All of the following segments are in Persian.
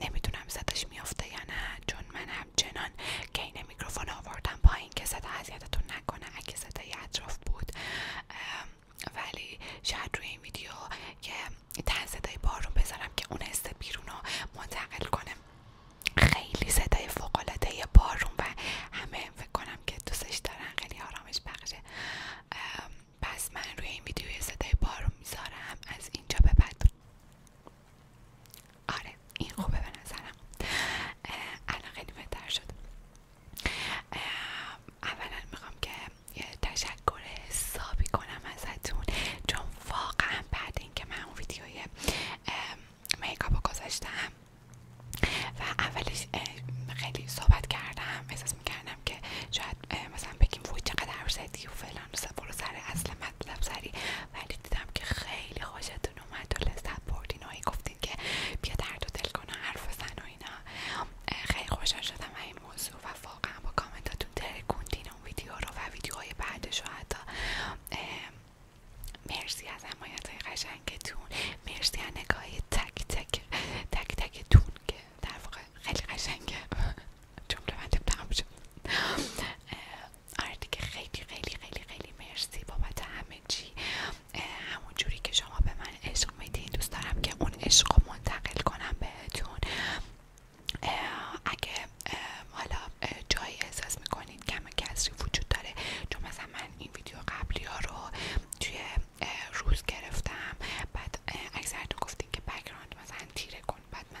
نمیدونم صداش میافته یا نه چون من همچنان که این میکروفون آوردم پایین که صدا اذیتتون نکنه اگه صدای اطراف بود ولی شاید روی این ویدیو که تن صدای بارون بذارم که اون حس بیرون رو منتقل کنم خیلی صدای فوقالعاده بارون و همه فکر کنم که دوستش دارن خیلی آرامش بخشه پس من روی این ویدیو صدای بارون میذارم از اینجا به آره این خوبه به نظرم الان خیلی بهتر شد اولا میخوام که یه تشکر حسابی کنم ازتون چون واقعا بعد اینکه من اون ویدیوی میکاپو گذاشتم و اولش خیلی صحبت کردم احساس میکردم که شاید مثلا بگیم وای چقدر زدی و برو سر اصل مطلب سری ولی دیدم که خیلی خوشتون اومد و لستت بردین و گفتین که بیا درد دل کنه حرف سن و اینا خیلی خوشحال شدم این موضوع و واقعا با کامنتاتون ترکوندین اون ویدیو رو و ویدیوهای بعدش و حتی مرسی از حمایت های قشنگتون مرسی از نگاهی تک تک تک تکتون که در واقع خیلی قشنگه جمله بندم دیگه خیلی خیلی خیلی خیلی مرسی بابت همه چی همون جوری که شما به من عشق میدین دوست دارم که اون عشق رو منتقل کنم بهتون اگه حالا جایی احساس که کم کسری وجود داره چون مثلا من این ویدیو قبلی ها رو توی روز گرفتم بعد اکثرتون گفتین که بکراند مثلا تیره کن بعد من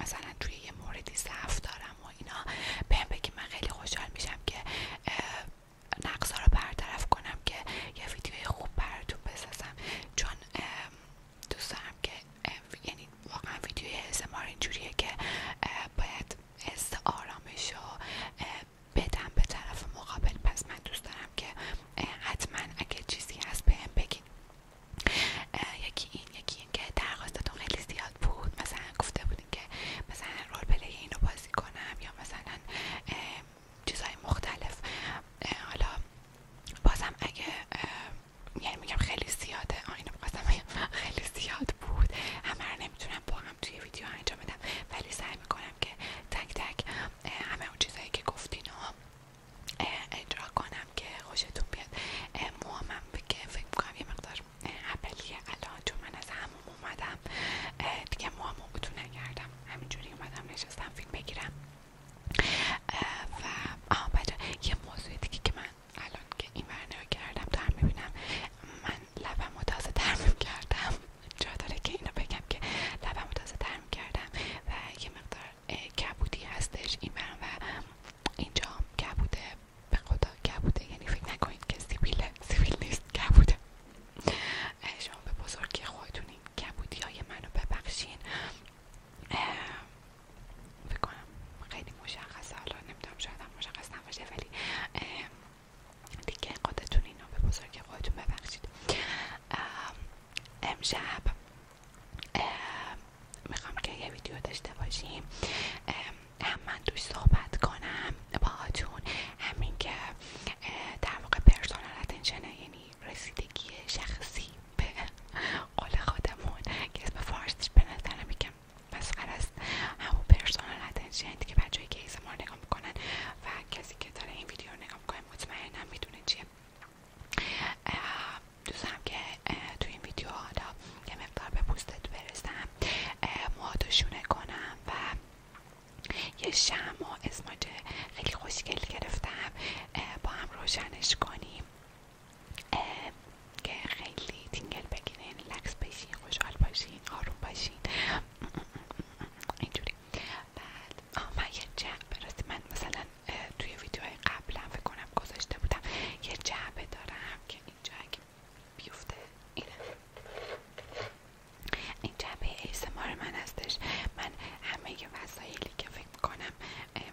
مثلا توی یه موردی ضعف دارم و اینا بهم بگی من خیلی خوشحال میشم که نقصا رو برطرف کنم که یه ویدیوی خوب براتون بسازم چون دوست دارم که یعنی واقعا ویدیوی اسمار اینجوریه که باید حس آرامش و بدم به طرف مقابل پس من دوست دارم که حتما اگه چیزی هست بهم بگین یکی این یکی این که درخواستتون خیلی زیاد بود مثلا گفته بودیم که مثلا رول پلی اینو بازی کنم یا مثلا چیزهای مختلف حالا بازم اگه یعنی میگم خیلی زیاده آینه میخواستم خیلی زیاد بود همه نمیتونم با هم توی ویدیو انجام بدم ولی سعی میکنم که تک تک همه اون چیزهایی که گفتین اجرا کنم که خوشتون بیاد موامم بگه فکر میکنم یه مقدار اولیه الان چون من از همون اومدم دیگه موامو اتو نکردم همینجوری اومدم نشستم فیلم بگیرم و آه بچه یه موضوع دیگه که من الان که این ورنه کردم دارم میبینم من لبم تازه ترمیم کردم جا داره که اینو بگم که لبم تازه ترمیم کردم و یه مقدار کبودی هستش این و اینجا کبوده به خدا کبوده یعنی فکر نکنید که سیبیل سیبیل نیست کبوده شما به بزرگی که کبودی های منو ببخشین فکر کنم خیلی مشخصه حالا نمیدونم شاید هم مشخص نباشه ولی دیگه خودتون اینا به بزرگ خودتون ببخشید امشب میخوام که یه ویدیو داشته باشیم هم من توش صحبت کنم باهاتون همین که در واقع پرسونال اتنشن یعنی رسیدگی شخصی به قول خودمون که اسم فارسیش به نظرم میگم مسخره است همون پرسونال اتنشن که بچه های کیس ما نگاه میکنن و کسی که داره این ویدیو رو نگاه میکنه مطمئنم میدونه چیه دوست دارم که تو این ویدیو حالا یه مقدار به پوستت برسم موهاتو شونه کنم و یه شم و خیلی خوشگل گرفتم با هم روشنش کنیم که خیلی تینگل بگیرین لکس بشین خوشحال باشین آروم باشین اینجوری بعد آه من یه من مثلا توی ویدیوهای قبلا فکر کنم گذاشته بودم یه جعبه دارم که اینجا اگه بیفته اینه این جعبه ایسمار من هستش من همه وسایلی که فکر کنم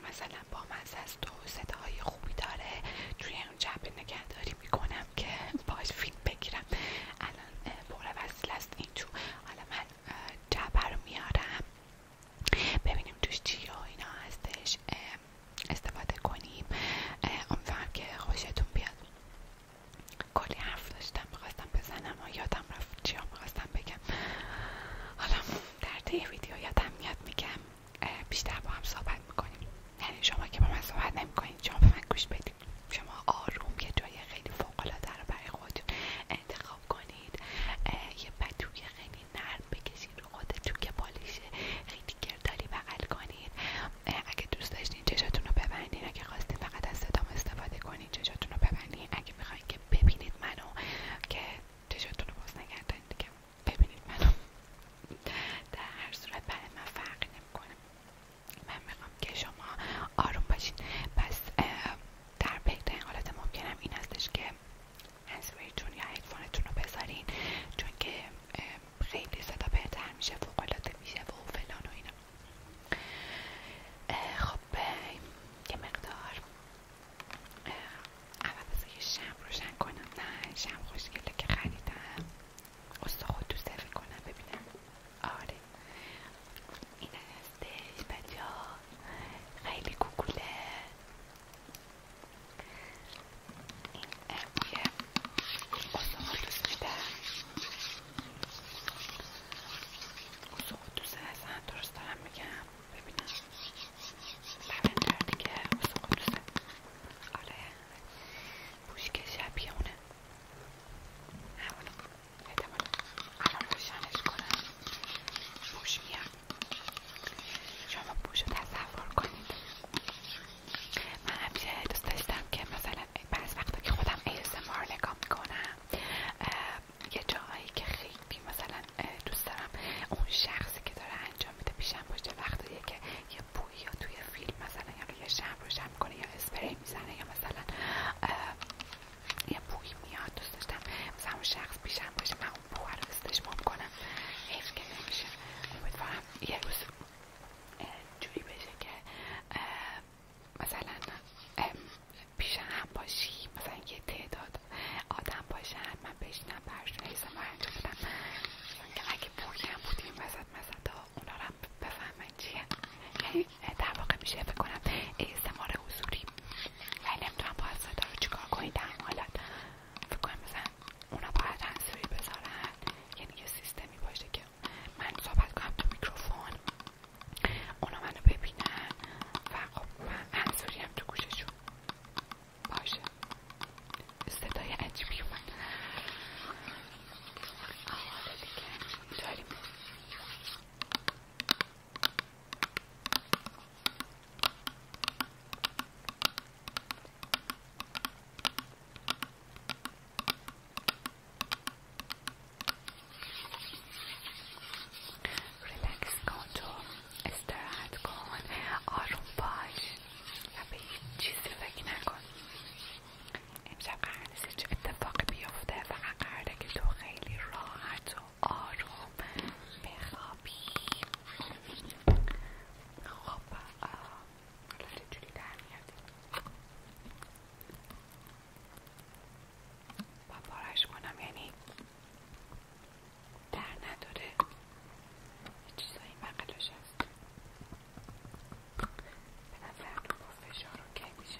مثلا با مزه تو و صداهای خوبی داره توی اون جعبه نگهداری میکنم که باش فیلم بگیرم الان پر وسیل است این تو حالا من جعبه رو میارم ببینیم توش چی ها اینا هستش استفاده کنیم امیدوارم که خوشتون بیاد کلی حرف داشتم میخواستم بزنم و یادم رفت چیا میخواستم بگم حالا در طی ویدیو یادم میاد میگم بیشتر با هم صحبت میکنیم یعنی شما که با من صحبت نمیکنید شما به من گوش بدید شما آروم یه جای خیلی فوقالعاده رو برای خودتون انتخاب کنید یه پتوی خیلی نرم بکشید و رو خودتون که پالیش خیلی گردالی بغل کنید اگه دوست داشتین چشاتون رو ببندین اگه خواستین فقط از صدام استفاده کنین چشاتون رو ببندین اگه میخواین که ببینید منو که چشاتون رو باز نگردین دیگه ببینید منو در هر صورت برای من فرقی نمیکنم من میخوام که شما آروم باشین پس در بهترین حالت ممکنم این هستش که هنسفریتون یا هدفونتون رو بذارین چون که خیلی صدا بهتر میشه فوقالعاده میشه و فلان و اینا خب یه مقدار اول شم روشن کنم نه شم خوشگله که خریدم اصلا تو دوست کنم ببینم آره این هستش بچه خیلی گوگوله این امبوله اساقدوس میده اساقدوسه اصلا درست خب، دارم میگم ببینم که دیگه اساقدوسه آره بوشک شبیه اونه همونه احتمالا الان روشنش کنم بوش میاد شما رو تصور کنید من همیشه دوست داشتم که مثلا بعض وقتا که خودم ASMR نگاه میکنم یه جایی که خیلی مثلا دوست دارم اون شخصی که داره انجام میده پیشم باشه وقتیه که یه بویی یا توی فیلم مثلا یا یه شم روشن میکنه یا اسپری میزنه یا مثلا یه بویی میاد دوست داشتم مثلا اون شخص وقت پیشم باشه من اون رو استشمام کنم حیف نمیشه امیدوارم یه روز جوری بشه که مثلا پیش هم باشی مثلا یه تعداد آدم باشن من بشینم برشون ایسا انجام بدم که اگه بوری هم بودیم وسط مزد اونا رو هم بفهمن چیه یعنی، در واقع میشه فکر کنم استعمار حضوری و نمیتونم باید رو چیکار کنید در فکر کنم مثلا اونا باید هنسوری بذارن یعنی یه سیستمی باشه که من صحبت کنم تو میکروفون اونا منو ببینن و خب من هم تو گوششون باشه صدای عجیبی ریلکس کن تو استراحت کن آروم باش و به چیزی فکر نکن امشب قرار نیست هیچ اتفاقی بیفته فقط قراره که تو خیلی راحت و آروم بخوابی خب حالا جوری در میاد با پارش کنم یعنی در نداره چیزایی بقلش هست به نظر با فشار اوکی میشه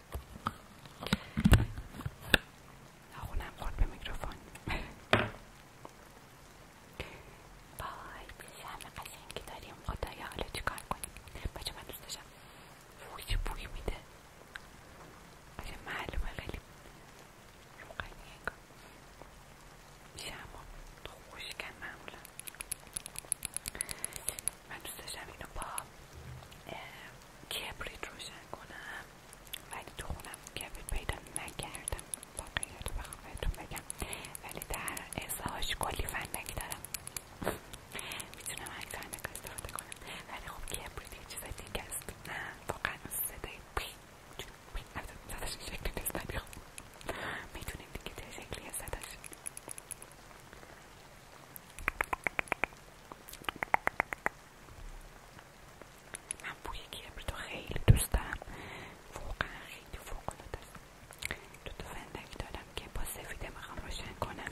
نخونم خود به میکروفون بای همه قشنگی داریم خدایا حالا چیکار کنیم بچه من دوست داشتم چه بوی میده معلومه خیلی روغنیه میشه من دوست داشتم اینو با کبریت روشن کنم ولی تو خونم کبریت پیدا نکردم رو بخوام بهتون بگم ولی در ازاش کلی فندک دارم میتونم هنگ فندک استفاده کنم ولی خب کبریت یه چیز دیگه است واقعا صدای پی صداش این شکلی نیست ولی دیگه چه شکلیه صداش من بوی کبریت تو خیلی دوست دارم واقعا خیلی تو است دو تو دارم که با سفیده هم روشن کنم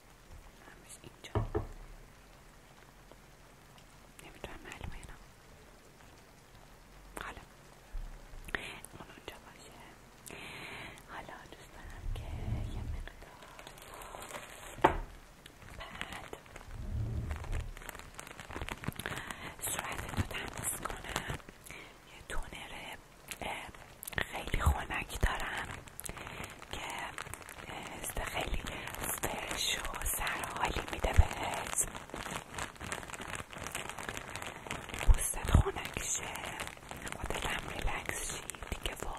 همش اینجا نمیتونم معلومه اینا حالا اون اونجا باشه حالا دوست که یه مقدار بعد صورت رو تمیز کنم یه تونر خیلی خنک دارم که خیلی فرش و سرحالی میده بهت پوستت خنک شه دلم ریلکس شی دیگه وای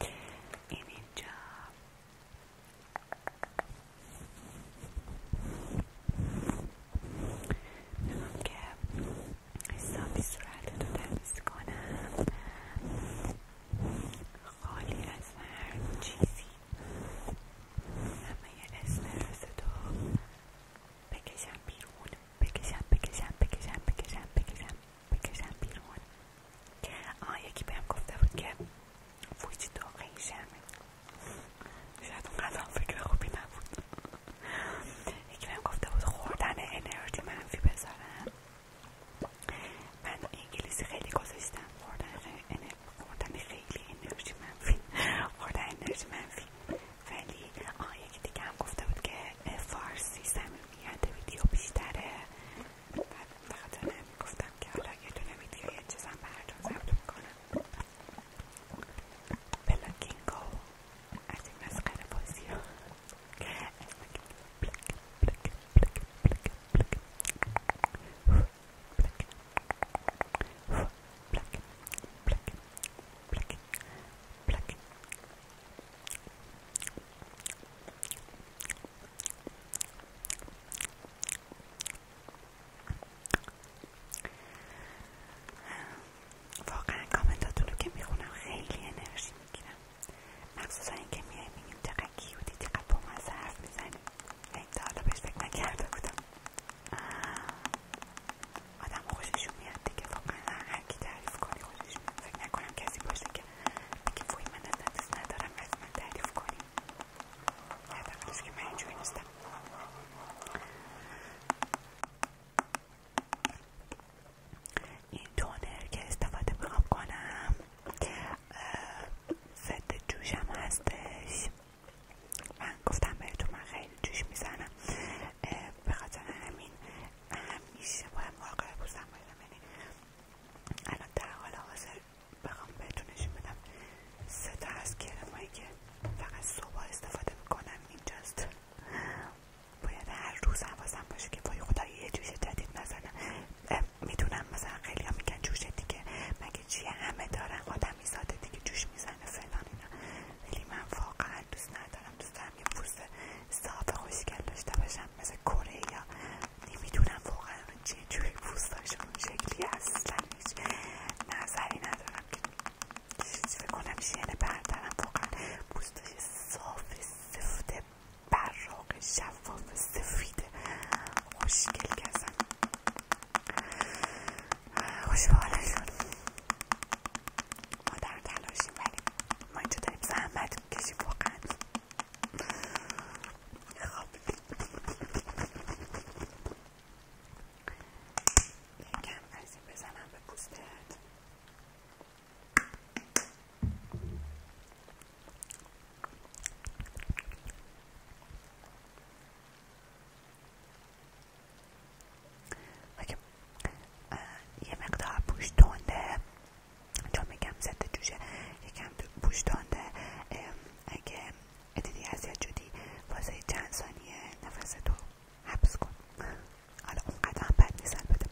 خب این اینجا میخوام که حسابی صورت رو تمیز کنم خالی از هر چیزی همه یه استرس تو بکشم بیرون بکشم بکشم بکشم بکشم بکشم بیرون آه یکی بهم گفته بود که وجود دو قیشمه شاید اونقدر فکر خوبی نبود یکی بهم گفته بود خوردن انرژی منفی بذارم من انگلیسی خیلی گذاشتم خوردن خیلی انرژی منفی خوردن انرژی منفی ولی آه یکی دیگه هم گفته بود که فارسی میاد ویدیو بیشتره و فقط همین گفتم که حالا یه دونه ویدیو یه چیزم براتون ضبط میکنم پلکنگو از این مسخره بازی ها واقعا کامنتاتون رو که میخونم خیلی انرژی میگیرم مخصوصا اینکه میایم میگیم چقدر و چقدر با حرف میزنیم این تا حالا بهش فکر نکرده بودم آدم خوششون میاد دیگه واقعا هر تعریف کنی فکر نکنم کسی باشه که بگه وای من از دوست ندارم از من تعریف که من اینجوری نیستم این تونر که استفاده میخوام کنم ضد جوشم هستش من گفتم بهتون من خیلی جوش میزنم به خاطر همین همیشه باید مراقب پوستم باشم یعنی الان در حال حاضر بخوام بهتون نشون بدم سه تا از کرمایی که فقط صبح استفاده میکنم اینجاست باید هر روز حواسم باشه که وای خدا یه جوش جدید نزنم میدونم مثلا خیلی ها میگن جوش دیگه مگه چیه همه دارن آدمی ساده دیگه جوش میزنه فلان اینا ولی من واقعا دوست ندارم دوست دارم یه پوست صاف خوشگل داشته باشم مثل کره یا نمیدونم واقعا چه جوری پوستاشون شکلی اصلا هیچ نظری ندارم که فکر کنم شینه بردارم واقعا پوستاش صاف سفته براق شفاف سفید خوشگل که اصلا ما در تلاشیم ولی ما اینجا داریم زحمت میکشیم واقعا خب یکم از بزنم به پوستت Uh, یه مقدار بوش تنده چون میگم زده جوشه یکم بوش تنده اگه دیدی اذیت جدی واسه چند ثانیه نفس تو حبس کن حالا اونقدر هم بد نیست البته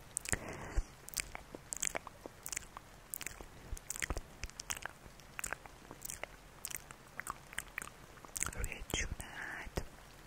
روی جونت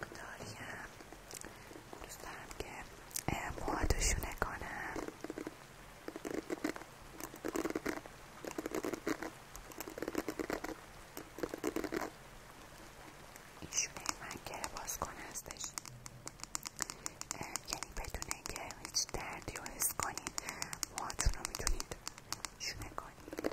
مقداریم دوست دارم که موهاتو شونه کنم این شونه من که باز کن هستش یعنی بدون اینکه هیچ دردی رو حس کنید موهاتون رو میتونید شونه کنید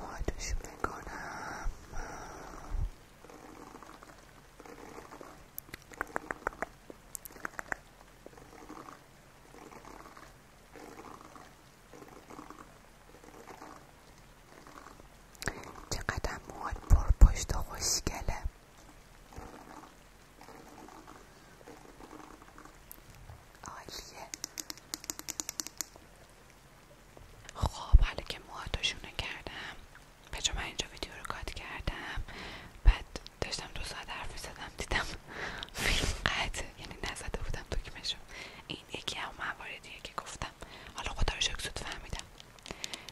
پایدشو بکنم چقدر موهات پر پشت و خوشگله عالیه خب حالا که موهاتشونه کردم پجام من اینجا ویدیو رو کات کردم بعد داشتم دو ساعت حرف میزدم دیدم فیلم قطع یعنی نزده بودم دکمشو این یکی هم مواردیه که گفتم حالا خدا رو شکر فهمیدم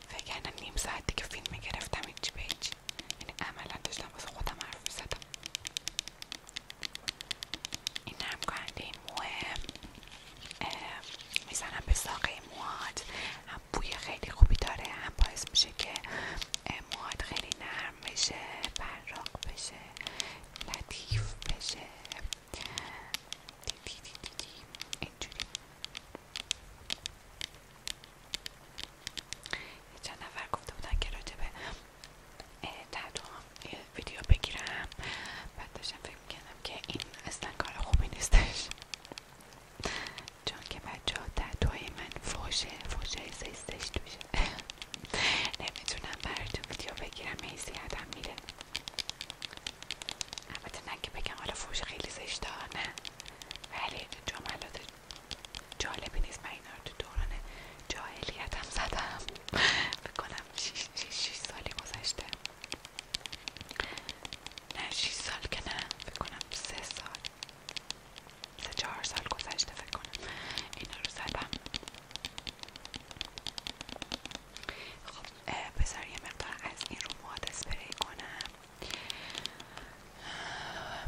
فکر کردم نیم ساعت دیگه فیلم میگرفتم هیچی به هیچی یعنی عملا داشتم واسه خودم حرف زدم. این هم کنده این موه میزنم به ساقه موهات هم بوی خیلی خوبی داره هم باعث میشه که موهات خیلی نرم بشه براق بشه لطیف بشه دی دی دی چند نفر گفته بودن که راجبه تحت هم یه ویدیو بگیرم بعد داشتم فکر میکنم که این اصلا کار خوبی نیستش چون که بچه ها تحتوهای من فوشه فوشه زیستش دوشه نمیتونم براتون ویدیو بگیرم این میره البته که بگم حالا فوش خیلی ها نه ولی جملات جالبی نیست من تو دوران جاهلیت هم زدم بکنم گفتم سالی گذشته نه شیش سال که نه فکر کنم سه سال سه چهار سال گذشته فکر کنم اینا رو زدم خب بذار یه مقدار از این رو مواد اسپری کنم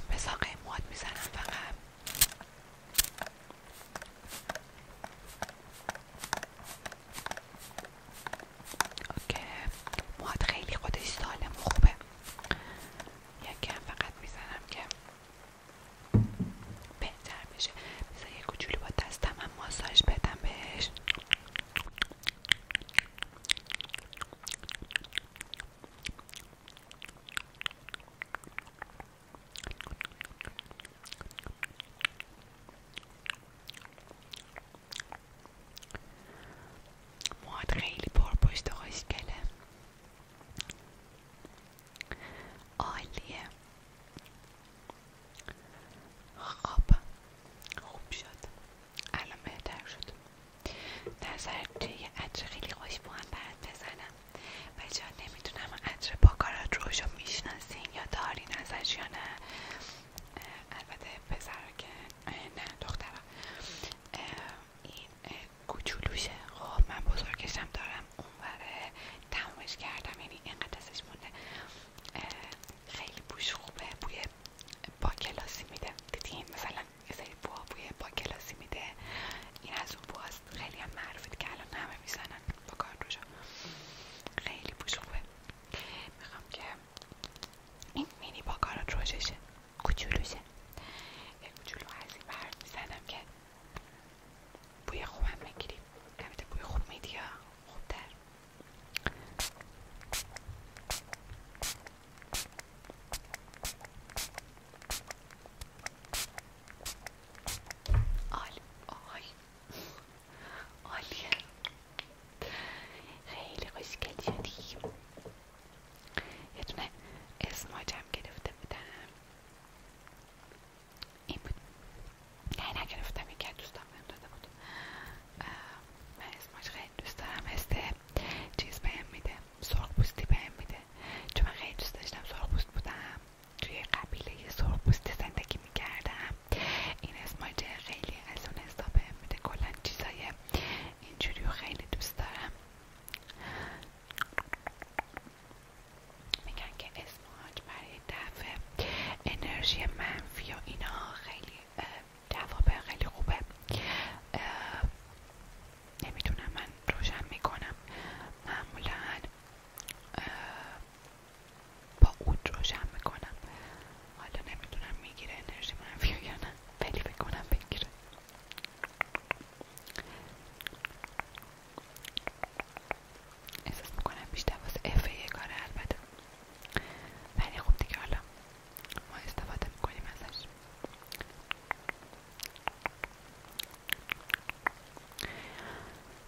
به مواد میزنم فقط اوکی مواد خیلی خودش سالم و خوبه یکم فقط میزنم که بهتر بشه یه کوچولو با دستم هم ماساژ بدم بهش موهات خیلی پرپشت و خوشگله عالیه خوب شد الان بهتر شد در یه خیلی خوشبو هم برات بزنم و نمیتونم نمیدونم عطر باکارات روشو میشناسین یا دارین ازش یا نه البته پسر که نه دخترا. این کوچولوشه خب من بزرگشم دارم اونوره تمومش کردم یعنی اینقدر ازش مونده خیلی بوش خوبه بوی با کلاسی میده دیدین مثلا یه بوها بوی با میده این از اون بوهاست خیلی هم معروفه که الان همه میزنن با کارت خیلی خوبه میخوام که این مینی با کارت روششه کچولوشه یه کچولو از این برد که بوی خوبم بگیریم البته بوی خوب میدی یا خوبتر عالی آی عالیه خیلی خوشگل شدی یه دونه اسماجم گرفته بودم این بود نه نگرفتم یکی از دوستان داده بود من اسماج خیلی دوست دارم مثل چیز بهم میده سرخ پوستی بهم میده چون من خیلی دوست داشتم سرخ بودم توی قبیله سرخپوستی زندگی میکردم این اسماج خیلی از اون حساب میده کلا چیزای اینجوری خیلی دوست دارم میگن که اسماج برای دفع انرژی منفی و اینا خیلی جواب خیلی خوبه نمیدونم من روشن میکنم معمولا با اود روشن میکنم حالا نمیدونم میگیره انرژی منفی یا نه ولی فکر کنم بگیره احساس میکنم بیشتر واسه افه کاره البته ولی خوب دیگه حالا ما استفاده میکنیم ازش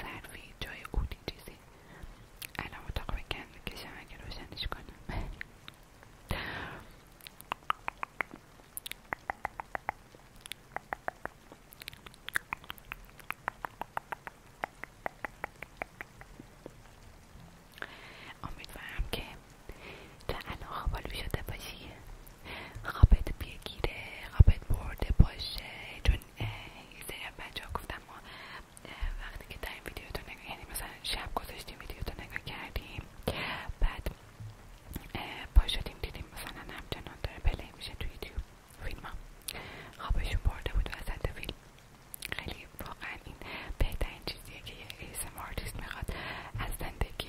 ظرفی جای اودی چیزی الان اتاق بکن بکشم اگه روشنش کنم امیدوارم که تا الان خوابالو شده باشی خوابت بیگیره خوابت برده باشه چون این سری بچه گفتم ما وقتی که در این ویدیو رو نگاه یعنی مثلا شب گذاشتیم ویدیو تو نگاه کردیم بعد پا دیدیم مثلا همچنان داره پلی میشه تو ویدیو فیلم ها خوابشون برده بود از فیلم خیلی واقعا این بهترین چیزیه که یه ASMR آرتیست میخواد از زندگی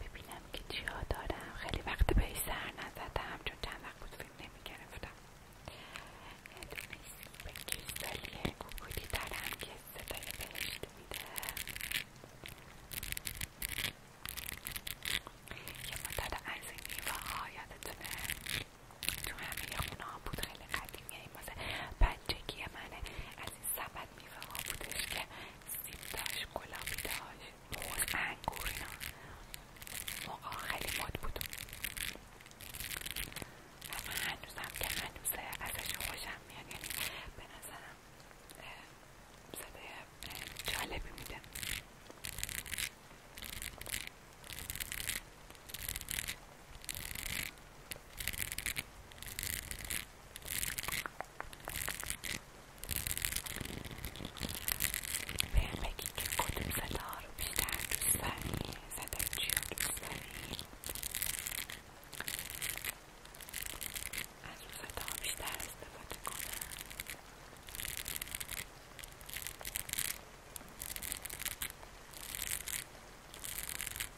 ببینم که چیا دارم خیلی وقت بهش سر نزدم چون چند وقت بود فیلم نمیگرفتم یه دونه سیب کریستالی کوکودی دارم که صدای بهشت میده یه مدت از این میوهها یادتونه تو همه خونه ها بود خیلی قدیمیه این واسه بچگی منه از این سبد بعد میوه ها بودش که سیب داشت گلابی داشت موز انگور اینا موقع خیلی مد بود اما هنوزم که هنوزه ازش خوشم میاد یعنی به نظرم صده جالبی میده به بگید که کدوم صدا رو بیشتر دوست داری از اون بیشتر استفاده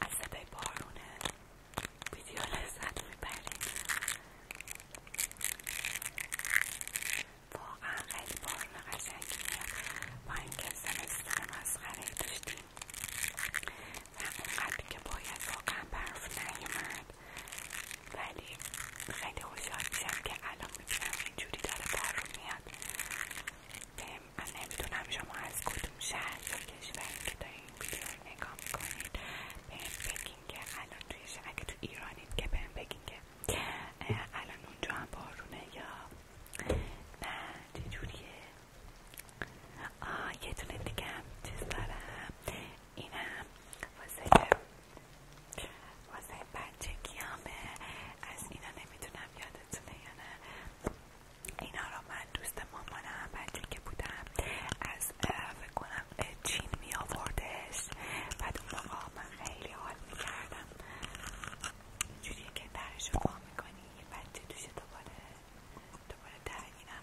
از صدای بارونه ویدیو لذت میبریم واقعا خیلی بارون قشنگیه با اینکه سمستر مسخره داشتیم و اونقدر که باید واقعا برف نیومد ولی خیلی خوشحال میشم که الان میبینم اینجوری داره بر میاد من نمیدونم شما از کدوم شهر یا کشوری که این ویدیو رو نگاه میکنید بهم بگین که الان توی اگه تو ایرانید که بهم بگین که الان اونجا هم بارونه یا نه چجوریه آه یه دونه دیگه هم چیز دارم این هم واسه بچه بچگیامه از اینا نمیتونم یادتونه یا نه اینا رو من دوست مامانم بچه که بودم از فکر کنم چین می آوردش بعد اون من خیلی حال میکردم کردم اینجوریه که درش رو بچه دوشه دوباره دوباره در اینم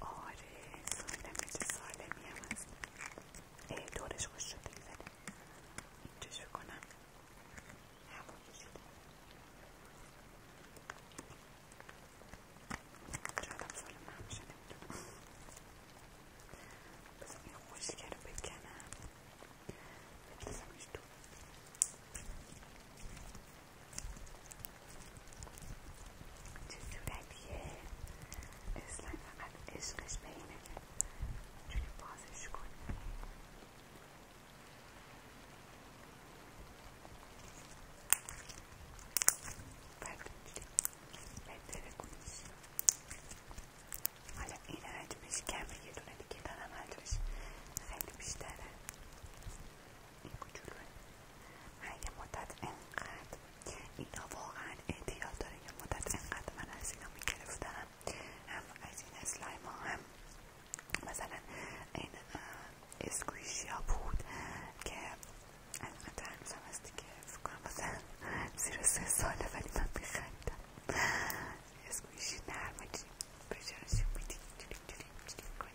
آره سالمه چه سالمی هم هست ای دورش خوش شده زده این چشو کنم همون کشیده شاید هم بذار این خوشگه رو بکنم بگذارمش تو چه صورتیه اصلا فقط عشقش به اینه چونی بازش حالا این حجمش کمه یه دونه دیگه دارم حجمش خیلی بیشتره کوچولوه من یه مدت انقدر اینا واقعا اعتیاد داره یه مدت انقدر من از اینا میگرفتم هم از این اسلایم ها هم مثلا این اسکویشیا بود که انقدر هنوز هم از دیگه فکرم مثلا زیر سه ساله ولی من میخندم اسکویشی نرمه چی بجرشی بودی چلی چلی چلی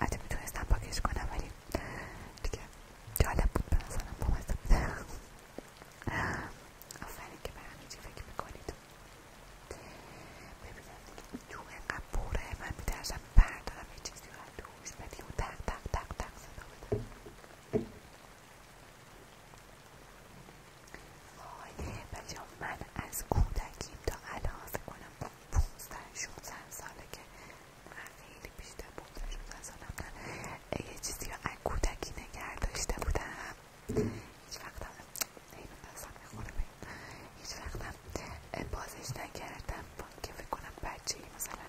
حتی میتونستم پاکش کنم ولی دیگه جالب بود به نظرم بامزه بود آفرین که به همه چی فکر میکنید ببینم دیگه جو اینقدر پوره من میترسم بردارم یه چیزی رو از دوش بدی و تق تق تق تق صدا بده وای بچه من از کودکیم تا الان کنم پونزده شونزده ساله که خیلی بیشتر پونزده شونزده سالم یه چیزی رو از کودکی نگه داشته بودم هیچ وقتم حیوان هیچ وقتم بازش نکردم که فکر کنم بچه ای مثلا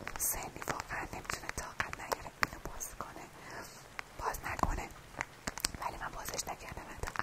اون سنی واقعا نمیتونه طاقت نیاره اینو باز کنه باز نکنه ولی من بازش نکردم حتی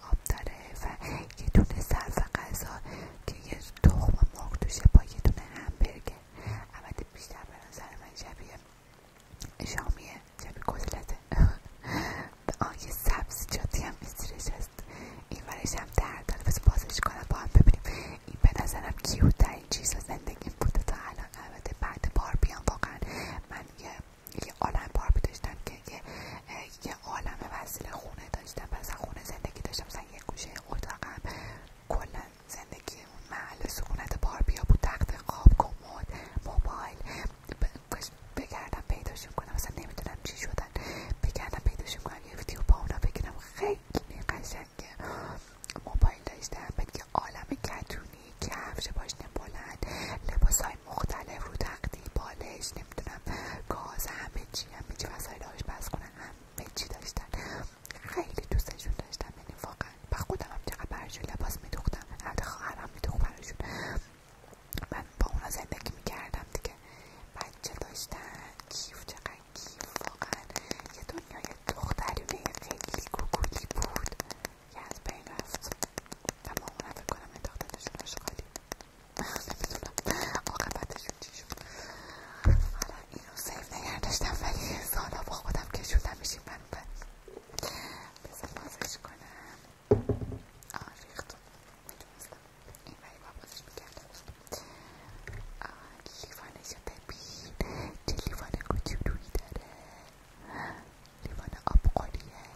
آب داره و یه دونه صرف غذا که یه تخم مرغ توشه با یه دونه همبرگر البته بیشتر به من شبیه شامیه شبیه کتلته آن یه سبزیجاتی هم میستیرش هست این ورش هم درد بازش کنم با هم ببینیم این به نظرم کیوت این چیز زندگی بوده تا الان البته بعد بار بیام واقعا من یه یه عالم باربی داشتم که یه عالم وسیله خونه داشتم پس خونه زندگی داشتم مثلا یه گوشه اتاقم کل زندگی محل سکونت باربیا بود تخت قاب کمد موبایل بگردم پیداش کنم مثلا نمیدونم چی شدن بگردم پیداش کنم یه ویدیو با اونا بگیرم خیلی که موبایل داشتم بعد یه عالم کتونی کفش پاشنه بلند لباس مختلف رو تقدیم بالش نمیدونم گاز همه چی همه چی وسایل آشپز کنن همه چی داشتن خیلی دوستشون داشتم یعنی واقعا خودم هم چقدر برشون لباس میدوختم البته خواهرم میدوخت براشون من با اونا زندگی میکردم دیگه بچه داشتن کیف چقدر کیف واقعا یه دنیای یه خیلی گوگولی بود که از بین رفت و ما فکر کنم انداختنشون نمیدونم آقابتشون چی شد این رو سیف نگر داشتم ولی سالا با خودم کشودم میشیم من اون بذار بازش کنم آه ریخت میدونستم این ولی بازش میکردم لیوانشو ببین چه لیوان کوچولویی داره لیوان آبقلیه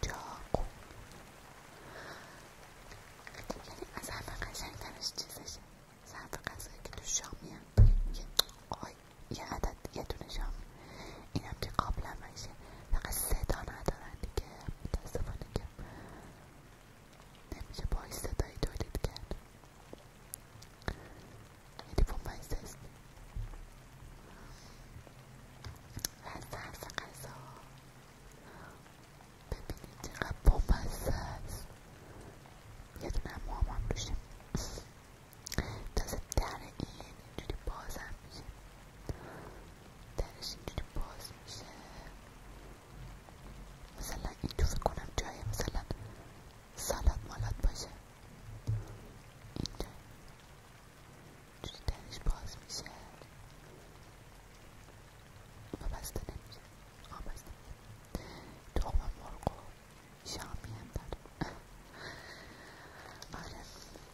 چاقو یعنی از حرف قشنگ ترش چیزشه از که شامی یه عدد یه دونه شام. این که قابل هم بشه فقط صدا ندارن دیگه متاسفانه که نمیشه با صدایی تولید کرد یه یعنی از طرف ببینید چقدر بامزه است یه دونه موام هم روشه در این اینجوری باز هم میشه درش اینجوری باز میشه مثلا این تو فکر کنم جای مثلا سالاد مالاد باشه اینجا توی دلش باز میشه و بسته نمیشه آه بسته نمیشه خب مرگو شامی هم دارم آره من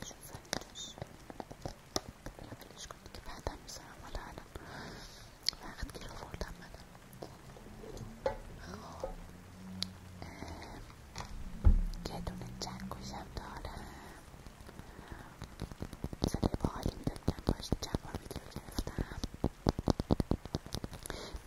بذارم کنی که بعدم حالا وقت گیر آوردم من خب یه دونه چنگوشم دارم صدای با باش جواب بار ویدیو گرفتم خیلی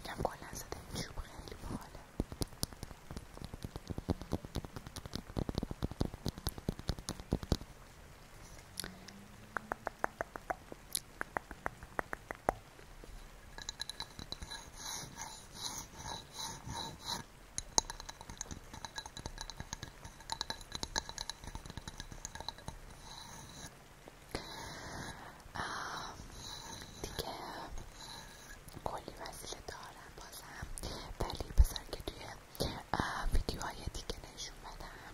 دیگه کلی وسیله دارم بازم ولی بذار که توی ویدیوهای دیگه نشون بدم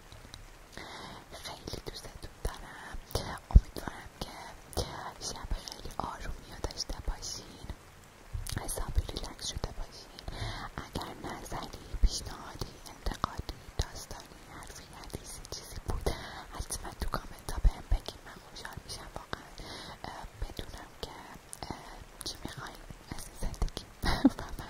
خیلی دوستتون دارم امیدوارم که شب خیلی آرومی و داشته باشین حسابی ریلکس شده باشین اگر نظری پیشنهادی انتقادی داستانی حرفی حدیثی چیزی بود حتما تو کامنت ها بهم بگین من خوشحال میشم واقعا بدونم که چی میخواین از این زندگی و